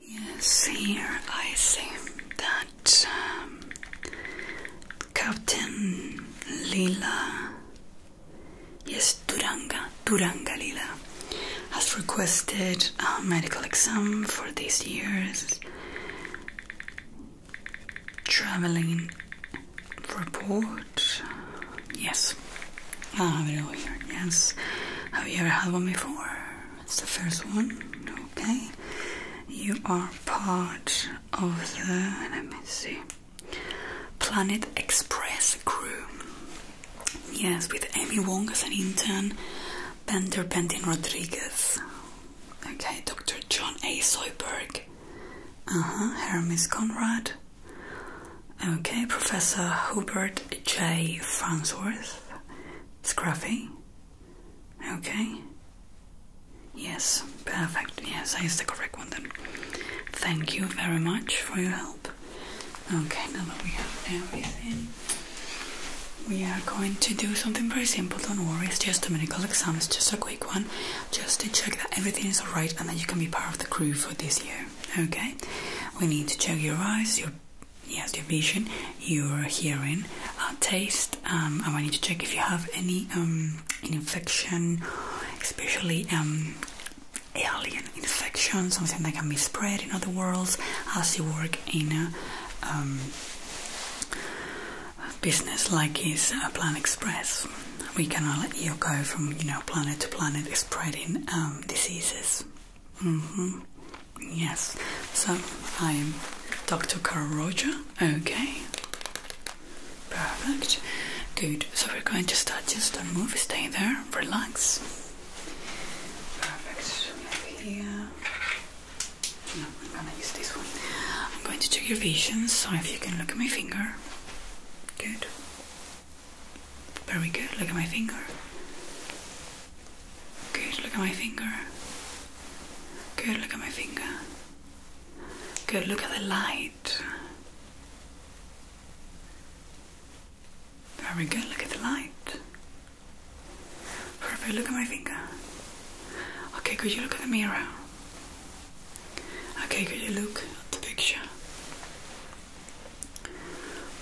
Yes, here I see that um, Captain Lila, yes, Duranga, Duranga Lila, has requested a medical exam for this year's traveling report. Ah, yes. Have you ever had one before? It's the first one. Okay. You are part of the. Let me see. Planet Express crew. Yes, with Amy Wong as an intern, Bender Bentin Rodriguez. Okay, Dr. John A. Soyberg. Uh huh. Hermes Conrad. Okay, Professor Hubert J. Farnsworth. Scruffy. Okay. Yes, perfect. Yes, that is the correct one then. Thank you very much for your help. Okay, now that we have everything, we are going to do something very simple. Don't worry, it's just a medical exam, it's just a quick one, just to check that everything is alright and that you can be part of the crew for this year. Okay, we need to check your eyes, your yes, your vision, your hearing, uh, taste, um, and we need to check if you have any um, infection, especially um, alien infection, something that can be spread in other worlds. As you work in a um, business like is uh, Planet Express, we can let you go from you know planet to planet spreading diseases. Mm -hmm. Yes. So I'm Dr. Carl Roger. Okay. Perfect. Good. So we're going to start just a move. Stay there. Relax. Perfect. Maybe here. No, I'm gonna use this one. I'm going to check your vision. So if you can look at my finger. Good. Very good. Look at my finger. Good. Look at my finger. Good. Look at my finger. Good. Look at the light. Very good. Look at the light. Perfect. Look at my finger. Okay. Could you look at the mirror? Okay. Could you look at the picture?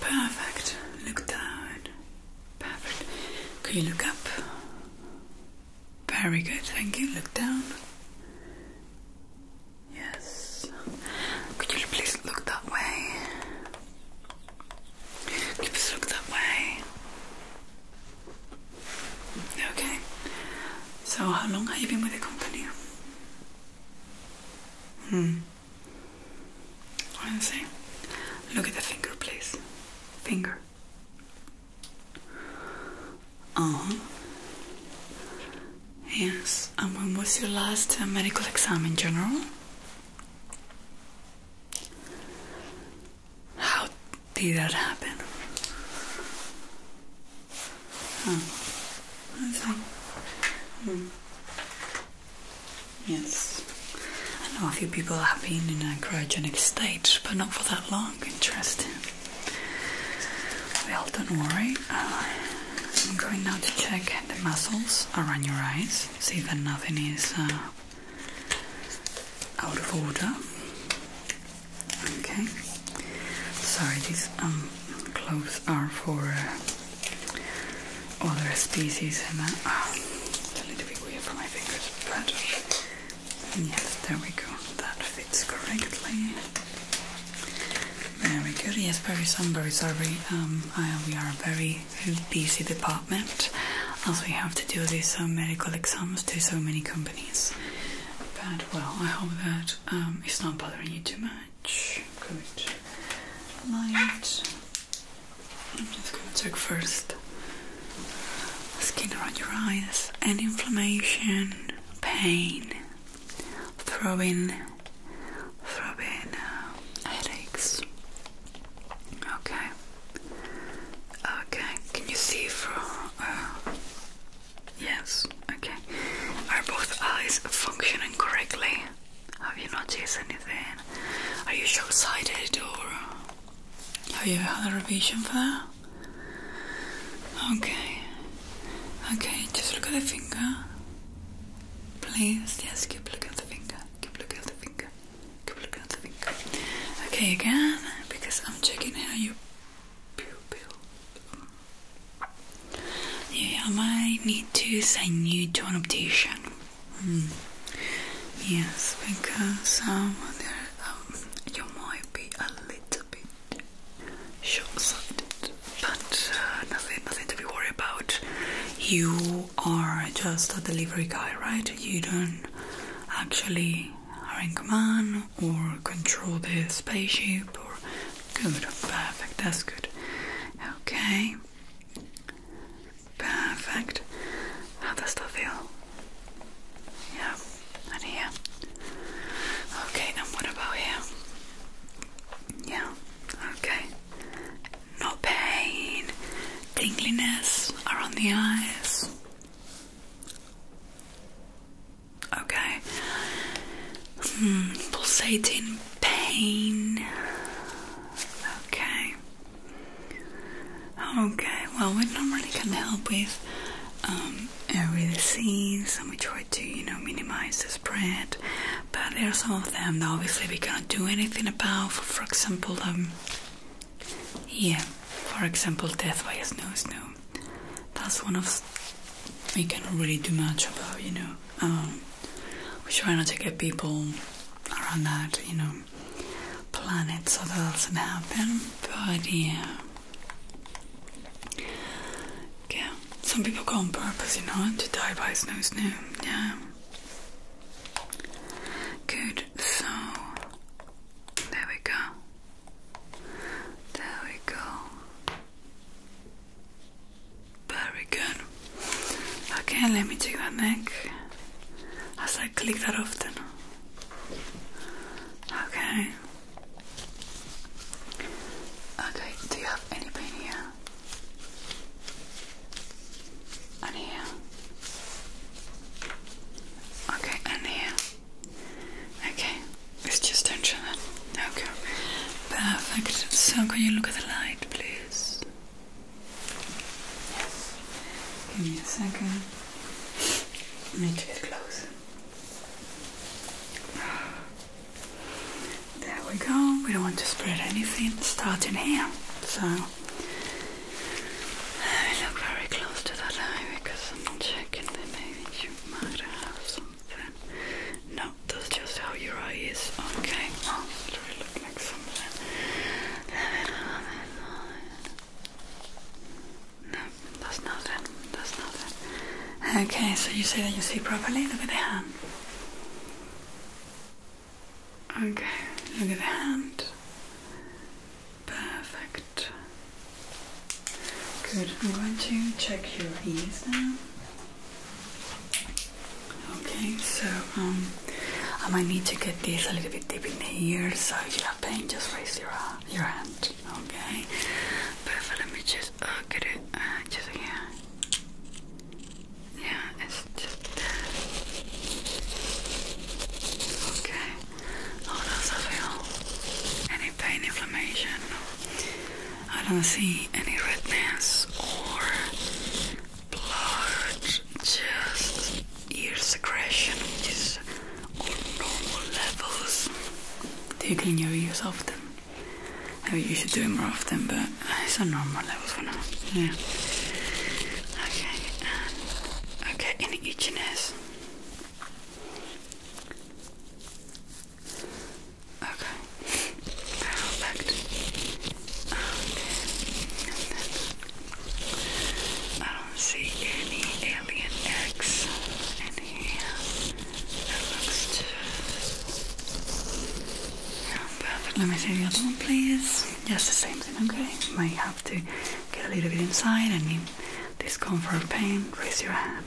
Perfect. Look down. Perfect. Can you look up? Very good. Thank you. Look down. Yes. Could you please look that way? please look that way? Okay. So, how long have you been with the company? Hmm. Honestly, look at the finger, please. Finger. Uh Yes. And when was your last uh, medical exam in general? How did that happen? Oh, that's fine. Mm. Yes. I know a few people have been in an cryogenic state, but not for that long. Interesting. Well, don't worry. Uh, I'm going now to check the muscles around your eyes, see that nothing is uh, out of order. Okay. Sorry, these um, clothes are for uh, all the species in that. Oh, it's a little bit weird my fingers, but yes, there we go. That fits correctly. Very good. Yes, very sunbury, sorry. Um, we are very busy department as we have to do these um, medical exams to so many companies. But well, I hope that um, it's not bothering you too much. Good. Light. I'm just going to check first skin around your eyes, any inflammation, pain, throbbing, throbbing, uh, headaches. Okay. Okay. Can you see from? Uh, yes. Okay. Are both eyes functioning correctly? Have you noticed anything? Are you short sighted or have you had a revision for that? Okay. Okay, just look at the finger. Please, yes, keep looking at the finger. Keep looking at the finger. Keep looking at the finger. Okay, again, because I'm checking how you pupil. Yeah, I might need to send you to an optician. Hmm. Yes, because um, um, you might be a little bit short-sighted, but uh, nothing, nothing to be worried about. You are just a delivery guy, right? You don't actually are in command or control the spaceship or Good, perfect, that's good. Okay. Perfect. How does that feel? Yeah, and here. Okay, now what about here? Yeah, okay. No pain, tingliness around the eyes. Okay. Mm, pulsating pain. Okay. Okay, well, we normally can help with um, every disease and we try to, you know, minimize the spread, but there are some of them that obviously we cannot do anything about. For, for example, um, yeah, for example, death by a snow snow. That's one of we cannot really do much about, you know. Um, we try not to get people around that, you know, planet so that doesn't happen. But yeah. Yeah. Some people go on purpose, you know, to die by snow snow. Yeah. Good, so there we go. There we go. Very good. Okay, let me check that neck. As I click that often. Okay. Okay, do you have any pain here? And here. Okay, and here. Okay. It's just tension then. Okay. Perfect. So can you look at the light, please? Give me a second. I need to get closer. There we go. We don't want to spread anything. Starting here. So look very close to that eye because I'm checking that maybe you might no, that's just how your eye is. Okay, oh, it like something. No, that's nothing. That's nothing. Okay, so you say that you see properly. Look at the hand. Okay, look at the hand. Perfect. Good. I'm going to check your eyes now. Okay, so um, I might need to get this a little bit deep in here. So if you have pain, just raise your uh, your hand. Okay, perfect. Let me just uh, get it uh, just here. Yeah, it's just there. Okay. How oh, does that feel? Any pain, inflammation? I don't see any redness or blood, just ear secretion, just normal levels. Do you clean your ears often? I mean, you should do it more often, but uh, it's a normal levels for now. Yeah. Okay, okay, any itchiness? Okay. Perfect. Okay. And then I don't see any alien eggs in here. looks just perfect. Let me see the other one, please. Yes, the same thing. Okay. You might have to get a little bit inside. I mean, discomfort, pain. Raise your hand.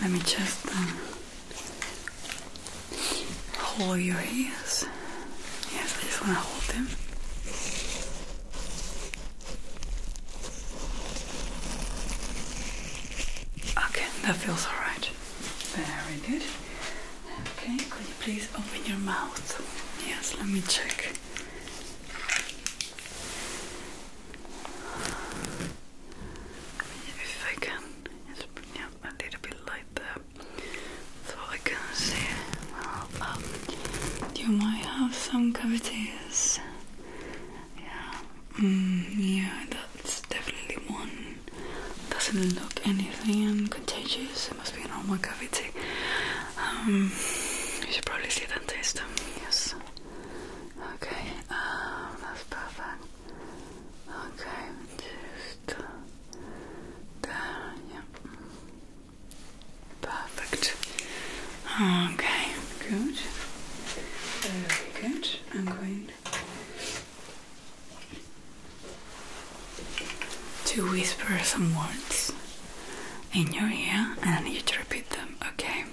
Let me just um, hold your ears. Yes, I just want to hold them. Okay, that feels alright. Very good. Okay, could you please open your mouth? Yes, let me check if I can, yeah, a little bit light there, so I can see. Well, um, you might have some cavities. Yeah, mm, yeah, that's definitely one. Doesn't look anything contagious. It must be a normal cavity. Um, you should probably see a dentist. Yes. Okay. Um, that's perfect. Okay, just uh, there, Perfect. Okay, good. good. I'm going to whisper some words in your ear and you to repeat them, okay?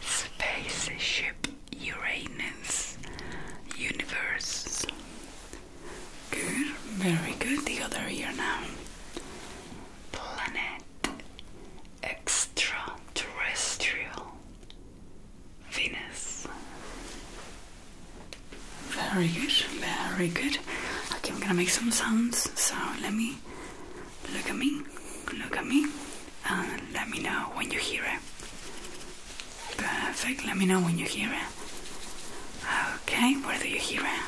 Spaceship. Uranus universe. Good, very good. The other ear now. Planet extraterrestrial Venus. Very good, very good. Okay, I'm gonna make some sounds. So let me look at me, look at me. Uh, let me know when you hear it. Perfect, let me know when you hear it. Okay, where do you hear it?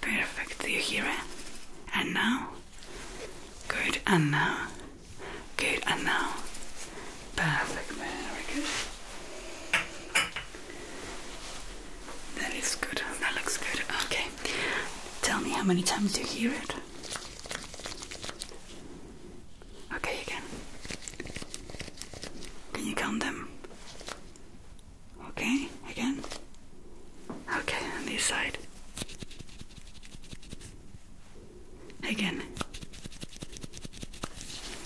Perfect, do you hear it? And now? Good, and now? Good, and now? Perfect, very good. That is good, that looks good. Okay, tell me how many times you hear it. Okay, you can. Can you count them? Okay, again. Okay, on this side. Again.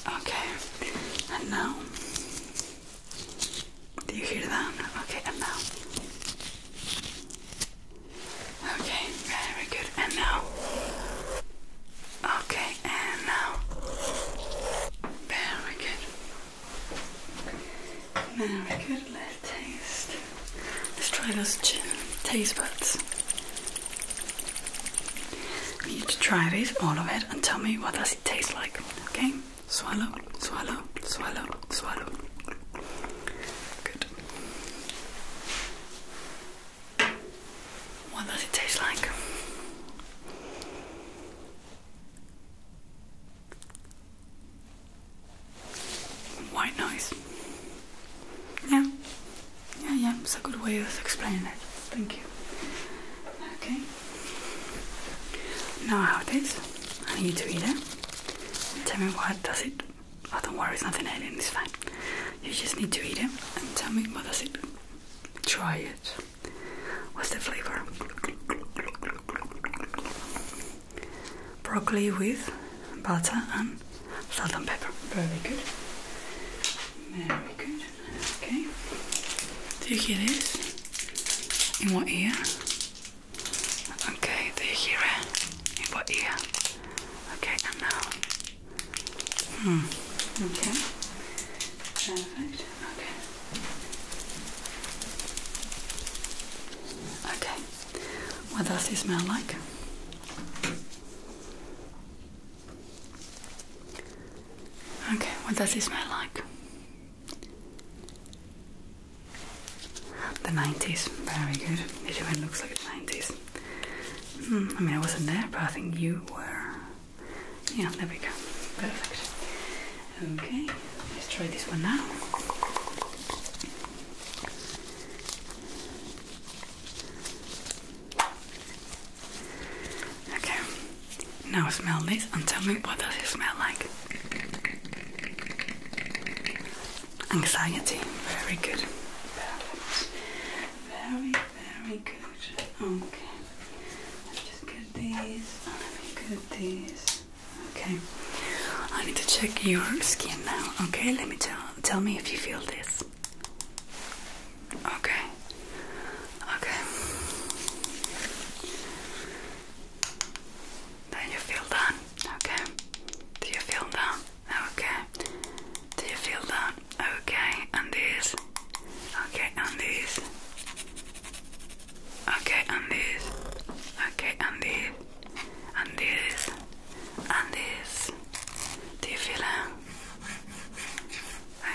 Okay, and now. Do you hear that? Okay, and now. Okay, very good. And now. Okay, and now. Very good. Very good. Let's taste. Let's try those taste buds. You need to try this, all of it, and tell me what does it taste like. Okay? Swallow, swallow, swallow, swallow. Good. What does it taste like? White noise. Yeah, yeah, yeah. It's a good way of explaining it. Thank you. Okay. Now how it is. I need to eat it. Tell me what does it Oh, don't worry, it's nothing hidden, it's fine. You just need to eat it and tell me what does it. Try it. What's the flavor? Broccoli with butter and salt and pepper. Very good. Very good. Okay. Do you hear this? In what ear? Okay, do you hear it? In what ear? Okay, now. Hmm. Okay. Perfect. Okay. Okay. What does he smell like? Okay, what does he smell like? The 90s, very good. It even looks like the 90s. Hmm, I mean, I wasn't there, but I think you were. Yeah, there we go. Perfect. Okay, let's try this one now. Okay, now smell this and tell me what does it smell like anxiety. Very good. Very, very good. Okay. Let's just get these. Let me get these. Okay. I need to check your skin now. Okay, let me tell tell me if you feel this. Okay. Okay. Then you feel done. Okay. Do you feel done? Okay. Do you feel that? Okay. And this. Okay. And this. Okay. And this. Okay. And this. And this. And this. Do you feel that?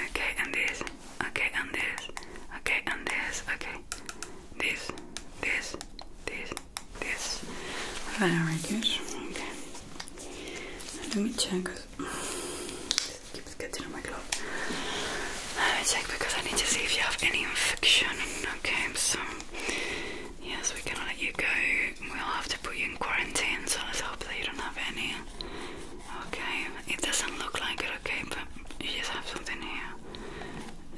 Okay. And this. Okay. And this. Okay. And this. Okay. This. This. This this. Very good. Okay. Let me check. It keeps getting on my glove. Let me check because I need to see if you have any infection. Okay, so yes, we cannot let you go. We'll have to put you in quarantine, so let's hope that you don't have any. Okay, it doesn't look like it, okay, but you just have something here.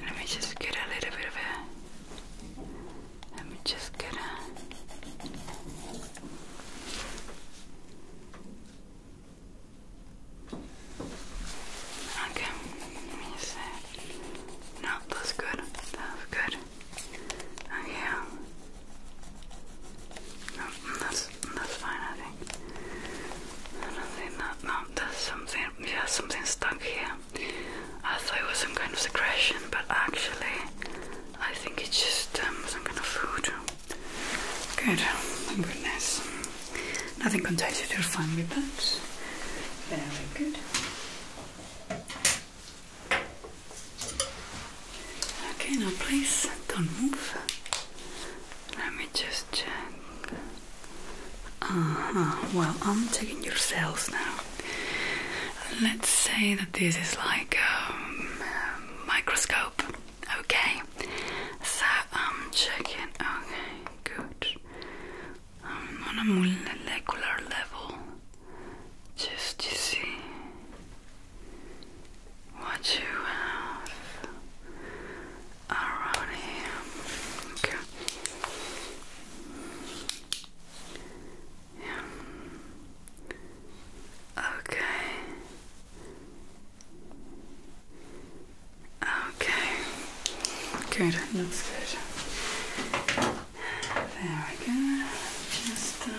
Let me just get a little bit of it. I'm just gonna Okay, let me No, that's good. That's good. Okay. No, that's fine I think. I do no, there's something yeah, something stuck here. I thought it was some kind of secretion, but actually, I think it's just um, some kind of food. Good, goodness. Nothing contagious, you're fine with that. Very good. Okay, now please don't move. Let me just check. Uh huh. Well, I'm checking your cells now. Let's say that this is like a um, microscope. Okay, so I'm checking. Okay, good. on a molecular level, just to see what you have around here. Yeah. Okay. Okay. Good. Looks good. There we go. Just uh,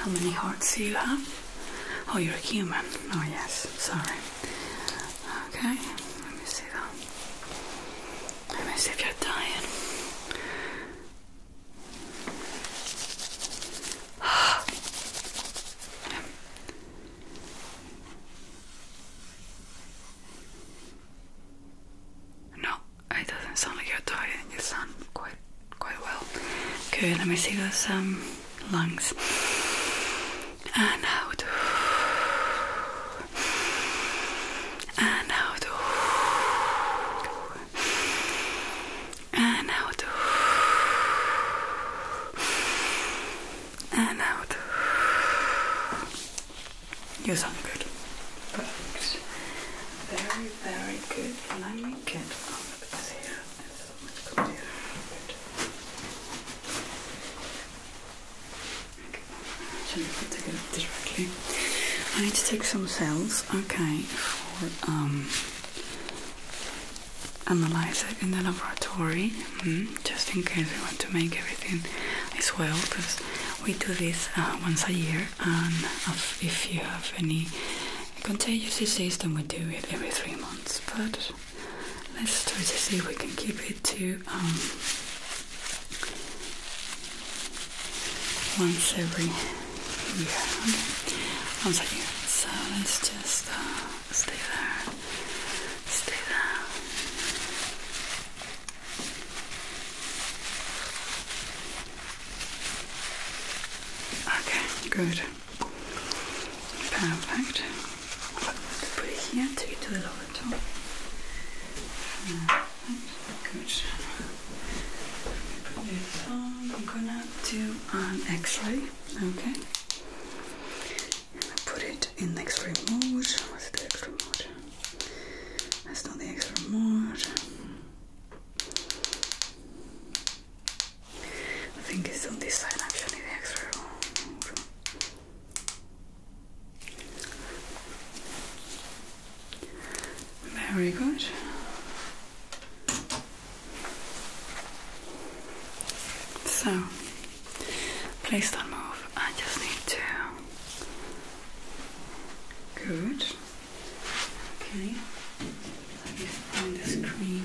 how many hearts do you have? Oh, you're a human. Oh yes. Sorry. Okay. Let me see that. Let me see if you're dying. yeah. No, it doesn't sound like you're dying. You sound quite quite well. Good. Let me see those um, lungs and out and out and out and out. You sound good. Very, very good. Can I make oh, it I need to take some cells, okay, for um analyze it in the laboratory, hmm, just in case we want to make everything as well, because we do this uh, once a year, and if you have any contagious disease, then we do it every three months. But let's try see if we can keep it too. Um, once every year. Okay. Once a year. So let's just uh, stay there. Stay there. Okay, good. Perfect. Put here, take it to the lower top. Uh, Good. I'm gonna do an X-ray. Okay. I'm gonna Put it in X-ray mode. What's the X-ray mode? That's not the X-ray mode. I think it's on this side actually, the X-ray. Very good. So, please don't move. I just need to. Good. Okay. Let me find the screen.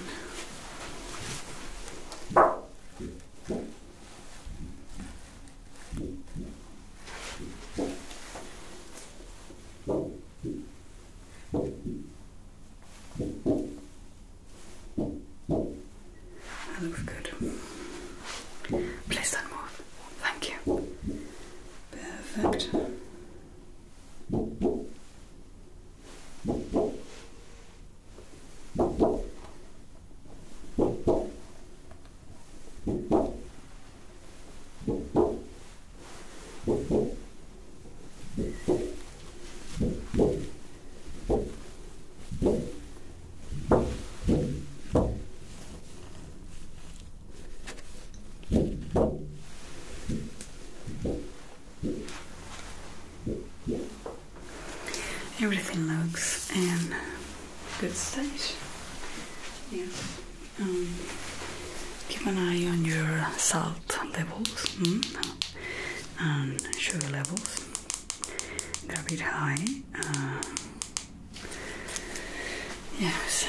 That looks good. Please don't Thank you. Perfect. Everything looks and good stage. Yeah. Um, keep an eye on your salt levels mm, and um, sugar levels. They're a bit high. Uh, yes.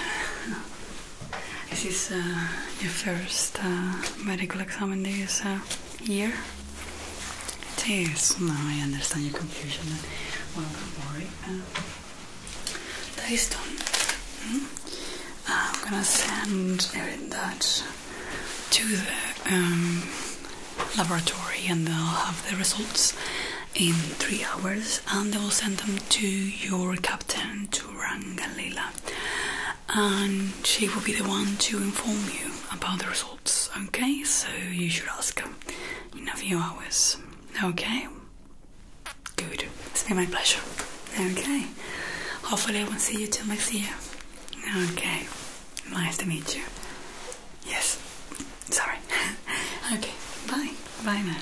this is uh, your first uh, medical exam in this year? Yes, No, I understand your hmm? confusion. don't worry. that is done. I'm gonna send that to the um, laboratory and they'll have the results in three hours and they will send them to your captain, to Rangalila. And she will be the one to inform you about the results okay? So you should ask him in a few hours, okay? Good, it's been my pleasure, okay? Hopefully, I won't see you till next year, okay? Nice to meet you. Yes, sorry. okay, bye, bye now.